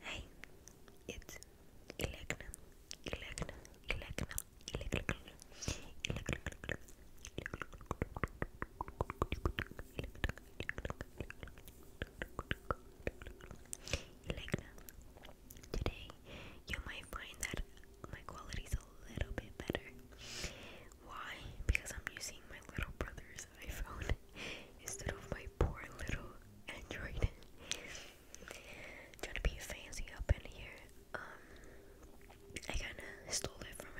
Hey, it's Elecna, Elecna, Elecna, Elecna, Elecna, Elecna. Today, you might find that my quality is a little bit better. Why? Because I'm using my little brother's iPhone instead of my poor little Android. Trying to be fancy up in here. Um, I kind of stole it from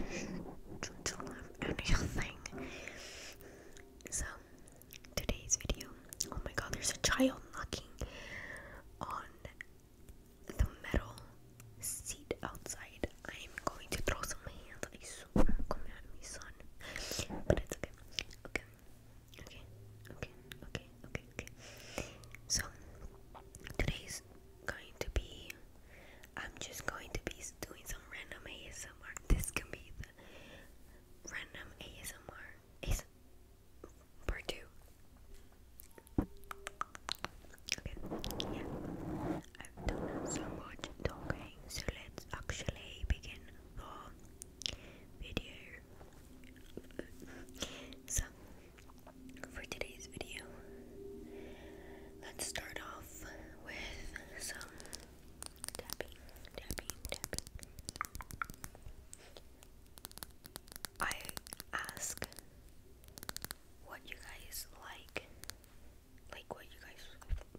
him. Don't have anything. So, today's video. Oh my God, there's a child knocking on the metal sit outside. I'm going to throw some hands. I swear, come at me, son. But it's okay. Okay. Okay. Okay. Okay. Okay. So today's going to be. I'm just going to be doing some random ASMR. This can be the random ASMR part two. Okay, yeah. I've done so much talking, so let's actually begin the video. So, for today's video, let's start off with some tapping, tapping, tapping. I ask what you guys like like what you guys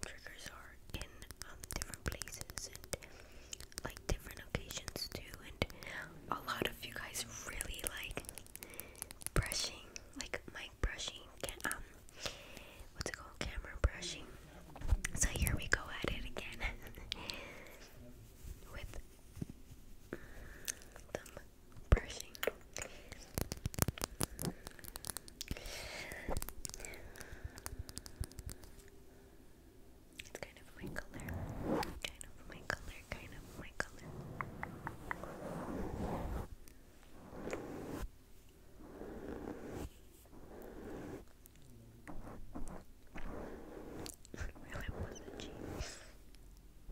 triggers are in um, different places and like different occasions too and a lot of you guys really like brushing like mic brushing um what's it called camera brushing so here we go at it again with them brushing. It's kind of my color. Kind of my color. Kind of my color. really was a cheese. Let's keep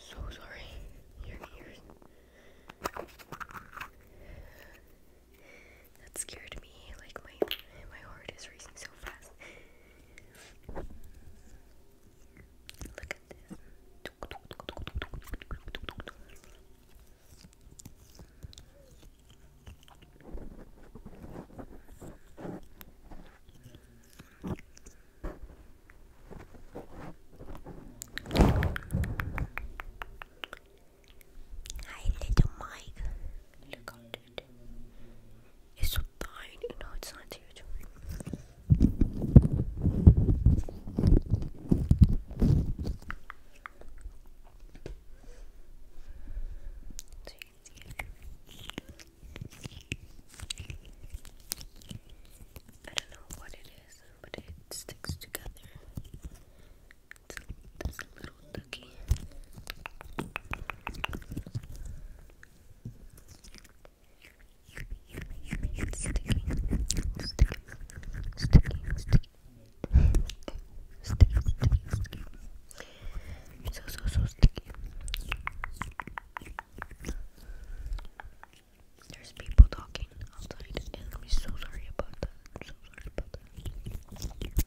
so sorry. Your ears. That scared me. Like my my heart is racing so fast. Look at this. Hi, little Mike. Look out. It's so tiny. No, it's not huge. you I don't know what it is, but it sticks together. It's this little little nookie. Sticky, sticky, sticky, sticky. Sticky, sticky, sticky. So, so, sticky. There's people talking outside, and I'm so sorry about that. so sorry about that.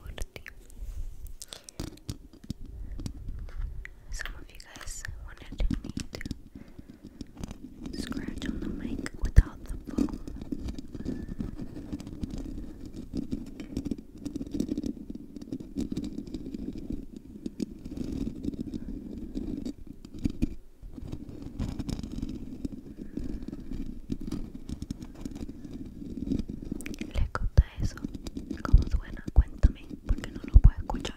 Morty. Some of you guys wanted to scratch on the mic without the foam. ¿Le gusta eso? como suena? Cuéntame, porque no lo puedo escuchar.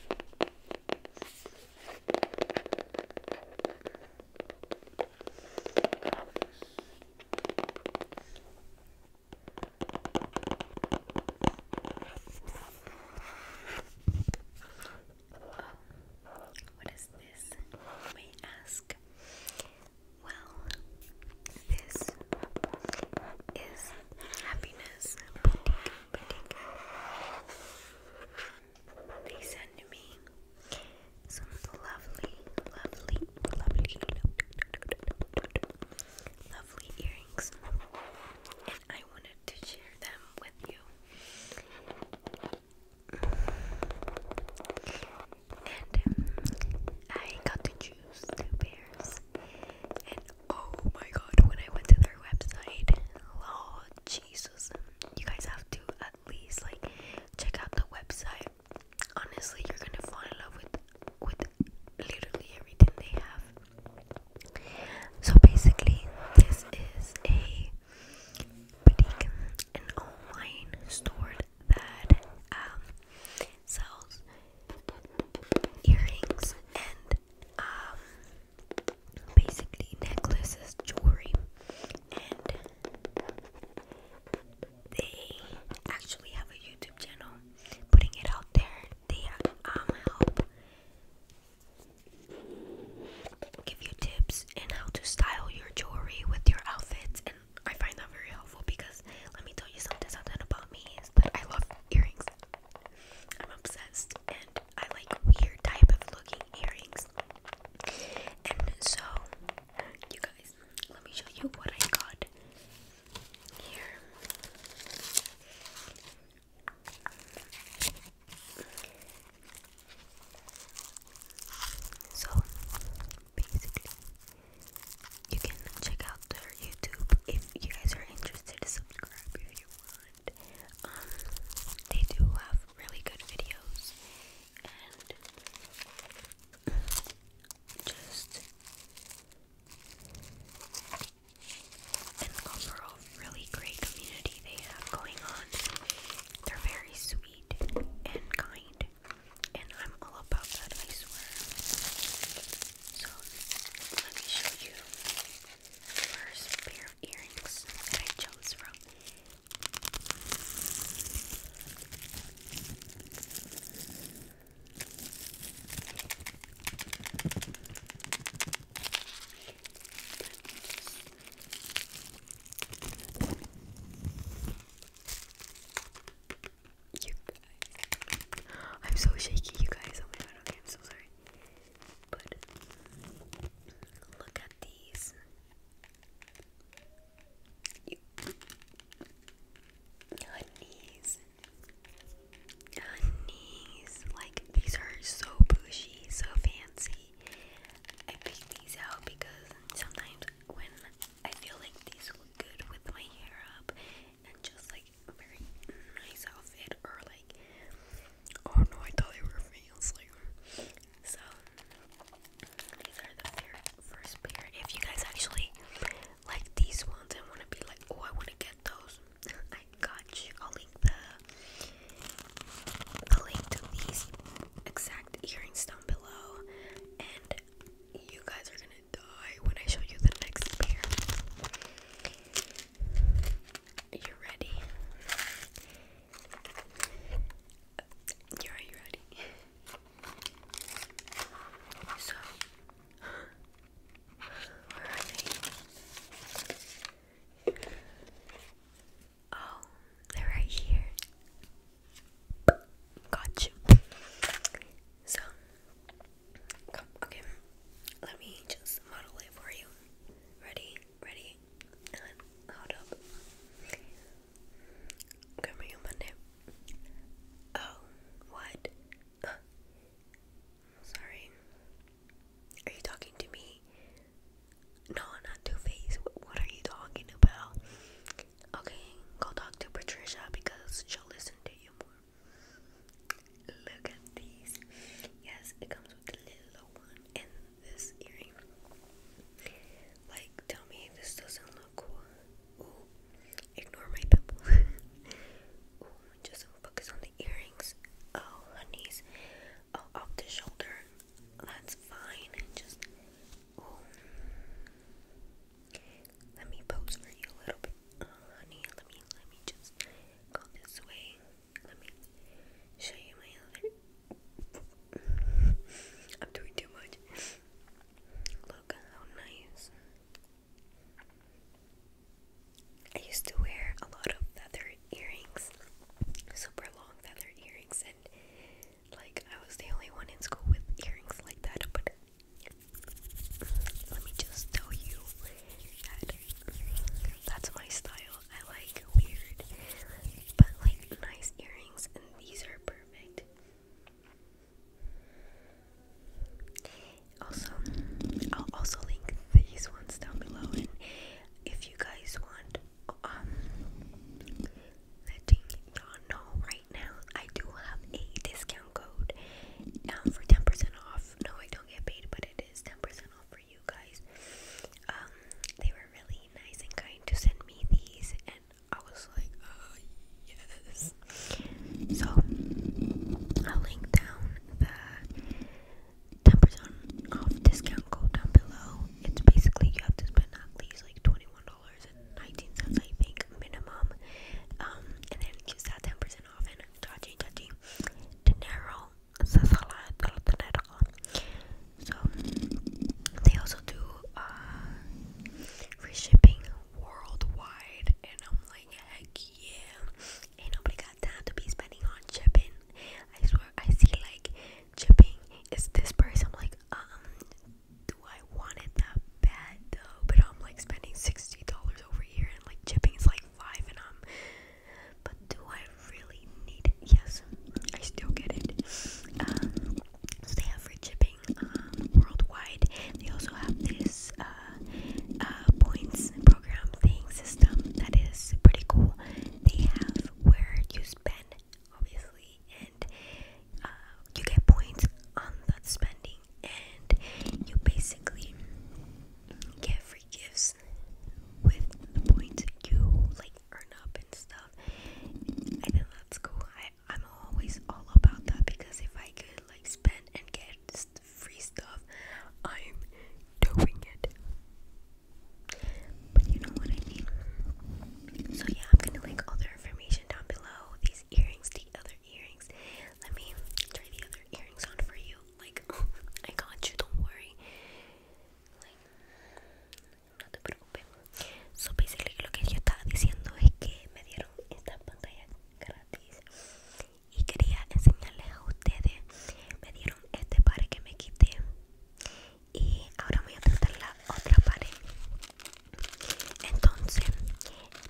Oh, what is this? May I ask? like, well, this is Happiness They sent me some lovely, lovely, lovely, lovely earrings, and I wanted to share them with you. And um, I got to choose two pairs. And oh my god, when I went to their website, oh Jesus. You guys have to at least like check out the website. Honestly, you're gonna fall in love with with literally everything they have. So basically, this is a boutique, an online store that um, sells earrings and um, basically necklaces, jewelry, and they actually have a YouTube channel putting it out there. They um help give you tips and how to style your jewelry with your outfits and I find that very helpful because let me tell you something something about me is that I love earrings. I'm obsessed and I like weird type of looking earrings. And so you guys, let me show you what I got here. So basically, you can check out their YouTube if you guys are interested. Subscribe if you want. Um, they do have really good videos and just an overall really great community they have going on. They're very sweet and kind and I'm all about that, I swear. So, let me show you first pair earrings that I chose from. I'm so shaky, you guys. Oh my god, okay, I'm so sorry. But look at these. You. Honeys. Honeys. Like, these are so bougie, so fancy. I pick these out because sometimes when I feel like these look good with my hair up and just like a very nice outfit or like oh no I thought they were veils like so these are the first pair if you guys actually like these ones I want to be like oh I want to get those I got you I'll link the the link to these exact earrings down below, and you guys are gonna die when I show you the next pair. you ready. you ready. So where are they? Oh, they're right here. Got you. So, come, okay. Let me just model it for you. Ready, ready, hold up. Come here, Monday. Oh, what? Sorry. Are you talking to me? No, not Two Face. What are you talking about? Okay, go talk to Patricia because she'll listen to you more. Look at these. Yes, it comes with the little one and this earring. Like, tell me this doesn't look cool. ignore my pimple. Ooh, just focus on the earrings. Oh, honeys. Oh, off the shoulder. That's fine. Just let me pose for you a little bit, oh, honey. Let me let me just go this way. Let me show you my other. I'm doing too much. Look how nice. I used to wear a lot of feather earrings, super long feather earrings, and like, I was the only one in school with earrings like that, but let me just tell you that that's my style. I like weird, but like nice earrings, and these are perfect. Also, I'll also link these ones down below, and if you guys want um letting y'all know right now I do have a discount code um for 10% off. No, I don't get paid, but it is 10% off for you guys. Um they were really nice and kind to send me these and I was like, uh yes. So I'll link down the 10% off discount code down below. It's basically you have to spend at least like $20 twenty-one dollars and nineteen cents, I think, minimum. Um, and then it gives that ten percent off and touchy touchy dinero. So they also do uh free shipping worldwide and I'm like heck yeah ain't nobody got time to be spending on shipping. I swear I see like chipping is this price. I'm like, um, do I want it that bad though? But I'm like spending sixty dollars over here, and like chipping is like five, and I'm. But do I really need it? Yes, I still get it. Um, so they have shipping um, worldwide. They also have this uh, uh, points program thing system that is pretty cool. They have where you spend obviously, and uh, you get points on that spending, and you basically get free gifts with the points you like earn up and stuff. I think that's cool. I, I'm always all about that because if I could like spend and get free stuff, I'm doing it. But you know what I mean? So yeah, I'm gonna link all their information down below. These earrings, the other earrings. Let me try the other earrings on for you. Like, I got you, don't worry. Like, no te preocupes. So basically lo que yo estaba diciendo es que me dieron esta pantalla gratis. Y quería enseñarles a ustedes. Me dieron este par que me quité. y ahora voy a tratar la otra pared entonces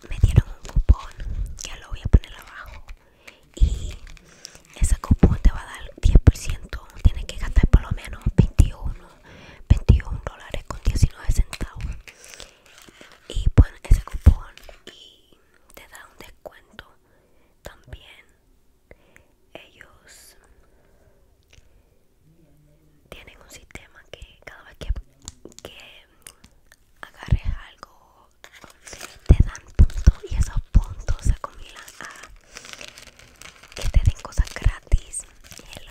me dieron un cupón ya lo voy a poner abajo y ese cupón te va a dar 10% tienes que gastar por lo menos 21 21 dólares con 19 centavos y pon ese cupón y te da un descuento también ellos tienen un sistema que cada vez que, agarres algo te dan puntos y esos puntos se acumulan a que te den cosas gratis y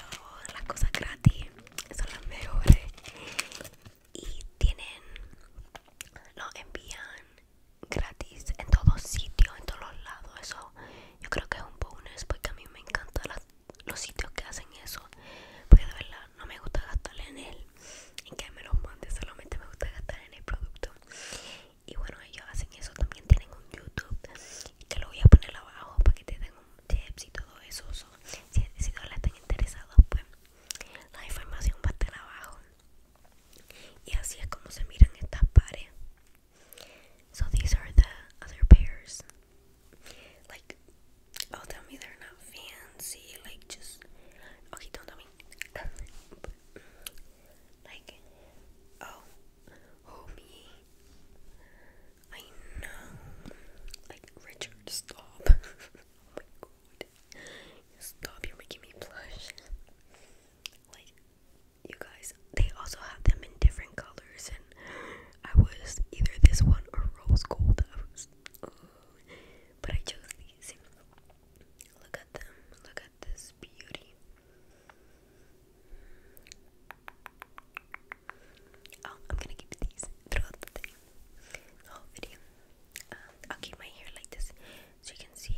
las cosas gratis son las mejores y tienen lo envían gratis en todos sitios en todos lados eso yo creo que es un bonus porque a mí me encantan los sitios que hacen eso porque de verdad no me gusta gastarle en él en que me los mande solamente me gusta gastar en el producto y bueno ellos hacen eso también tienen un youtube que lo voy a poner abajo para que te den un tips y todo eso si, si la están interesados pues la información va a estar abajo y así es como se miran estas pares So these are the other pairs. Like, oh, tell me they're not fancy. Like, just okay. Don't tell me. like, oh, oh me. I know. Like, Richard, stop. Oh my god. Stop, you're making me blush. like, you guys, they also have them in different colors, and I was either this one or rose gold. I was, uh, but I chose these. Look at them. Look at this beauty. Oh, I'm gonna keep these throughout the whole video. Um, I'll keep my hair like this so you can see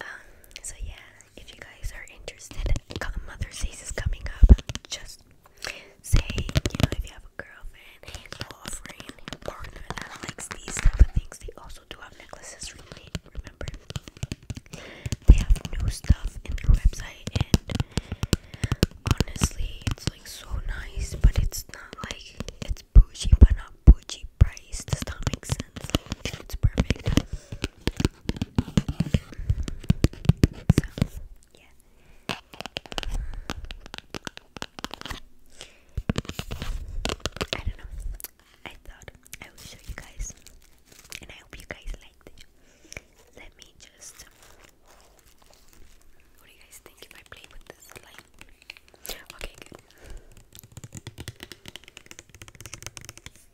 um, so yeah, if you guys are interested, Mother's Day is coming up. Just say, you know, if you have a girlfriend, boyfriend, partner that likes these type of things. They also do have necklaces. Really, remember, they have new stuff in their website, and honestly, it's like so nice, but it's not like it's bougie, but not bougie priced. Does that make sense? Like, it's perfect. So, I don't know. I thought I would show you guys, and I hope you guys liked it. Let me just. What do you guys think if I play with this light? Okay,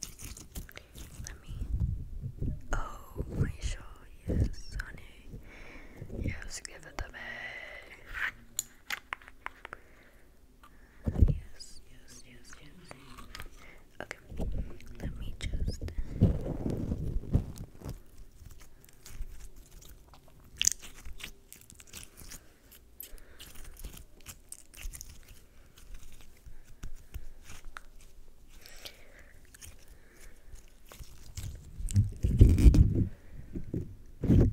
Let me. Oh my show, yes, honey. Yes, give it to me. Yes, yes, yes, yes. Okay, let me just hope that doesn't sound too bad.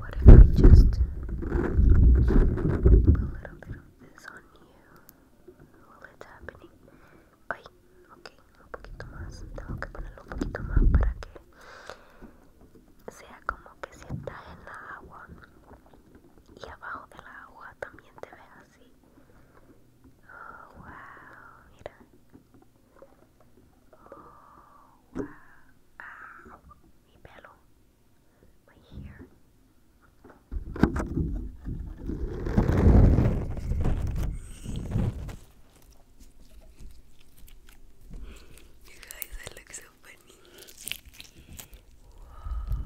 ¿Qué if si just pongo a little bit of this on you while it's happening? Ay, ok, un poquito más. Tengo que ponerlo un poquito más para que sea como que si estás en la agua y abajo de la agua también te vea así. Oh, wow, mira. Oh, wow. mi pelo. my hair. You guys, I look so funny. Wow. Wow.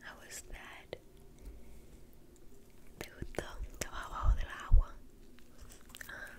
How es that? ¿Te gustó? Estaba abajo del agua. Ah.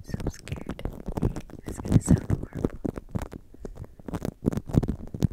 so scared. It's gonna sound horrible.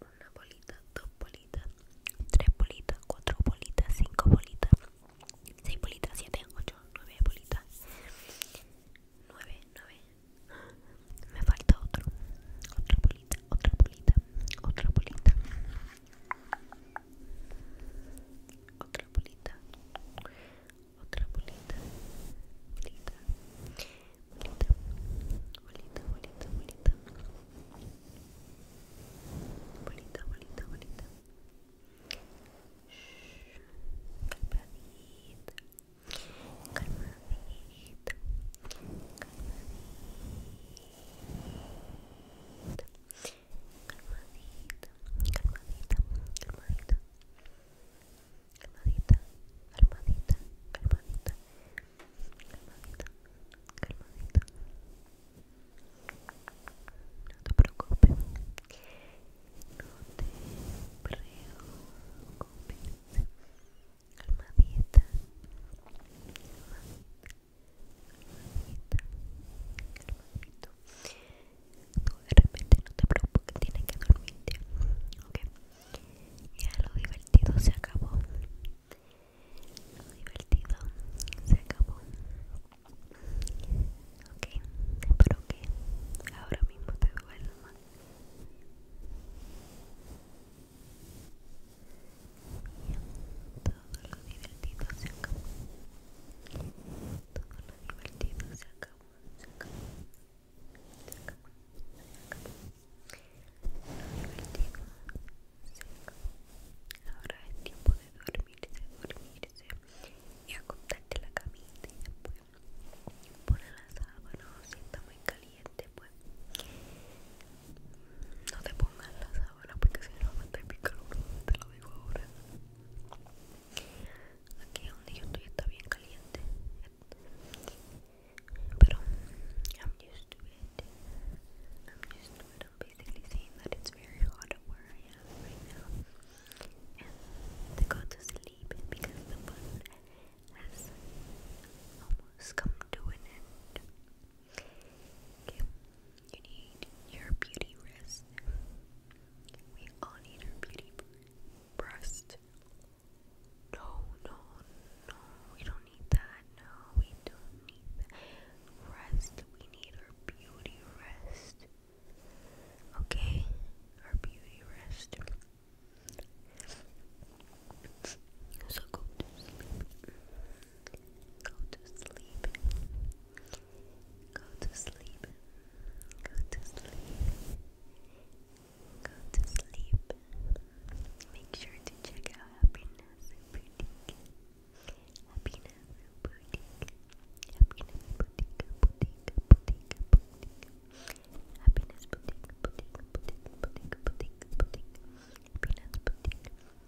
Una bolita, dos bolitas, tres bolitas, cuatro bolitas, cinco bolitas, seis bolitas, siete, ocho, nueve bolitas. Nueve, nueve. Me falta otro. Otra bolita, otra bolita, otra bolita. Outra bolita Outra bolita Bolita Bolita Bolita, bolita, bolita Bolita, bolita, bolita Calmadita Calmadita Calmadita calmadita, calmadita, calmadita, calmadita, calmadita, calmadita, calmadita, calmadita. No te preocupes, no te preocupes, calmadita, Tú de repente no te preocupes, que tienes que dormirte. Ok, ya lo divertido se acabó. Lo divertido se acabó. Ok, espero que ahora mismo te duerma. Todo lo divertido se acabó. Todo lo divertido se acabó. Se acabó. se acabó. Ahora es tiempo de dormirse, dormirse. Y acostarte la camisa y después poner las si está muy caliente pues no te pongas la ahora porque I'm used to it. I'm used to it. I'm basically saying that it's very hot where I am right now. And to go to sleep because the fun has almost come to an end. You need your beauty rest. We all need our beauty breast. No, no, no, we don't need that. No, we don't need Rest, we need our beauty rest. Okay? Our beauty rest. So go Go to sleep. Go to sleep. Go to sleep. Go to sleep. Make sure to check out Happiness Boutique. Happiness Boutique. Happiness Boutique. Boutique. Boutique. Boutique. Happiness Boutique. Boutique. Boutique. Boutique. Boutique. Boutique. Happiness Boutique.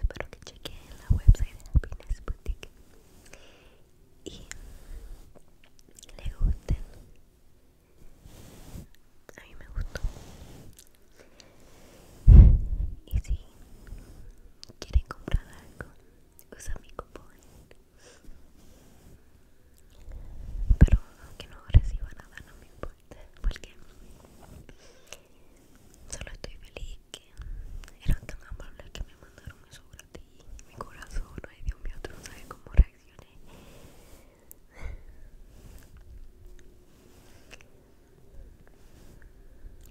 Espero que chequen la website de Happiness Boutique y le gusten. A mí me gustó. Y si quieren comprar algo, usa mi cupón pero aunque no reciba nada no me importa porque solo estoy feliz que eran tan amables que me mandaron eso ti mi corazón ay Dios mío tú no sabes cómo reaccioné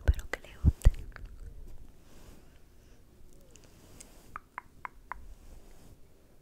pero que le guste.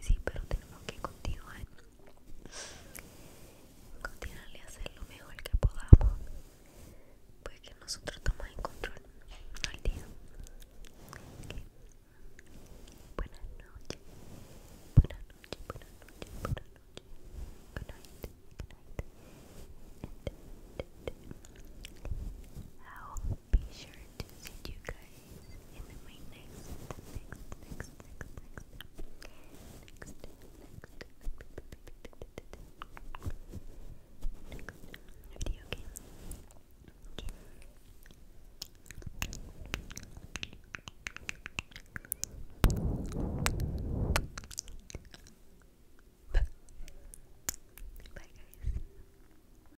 sí, pero tenemos que continuar. Continuar a hacer lo mejor que podamos. Porque nosotros estamos en control, no día. Buenas noches. Buenas noches, buenas noches, buenas noches. Buenas noches be sure to see you guys in my next, next, next, next, next, next, next, next video game. Okay. Bye guys.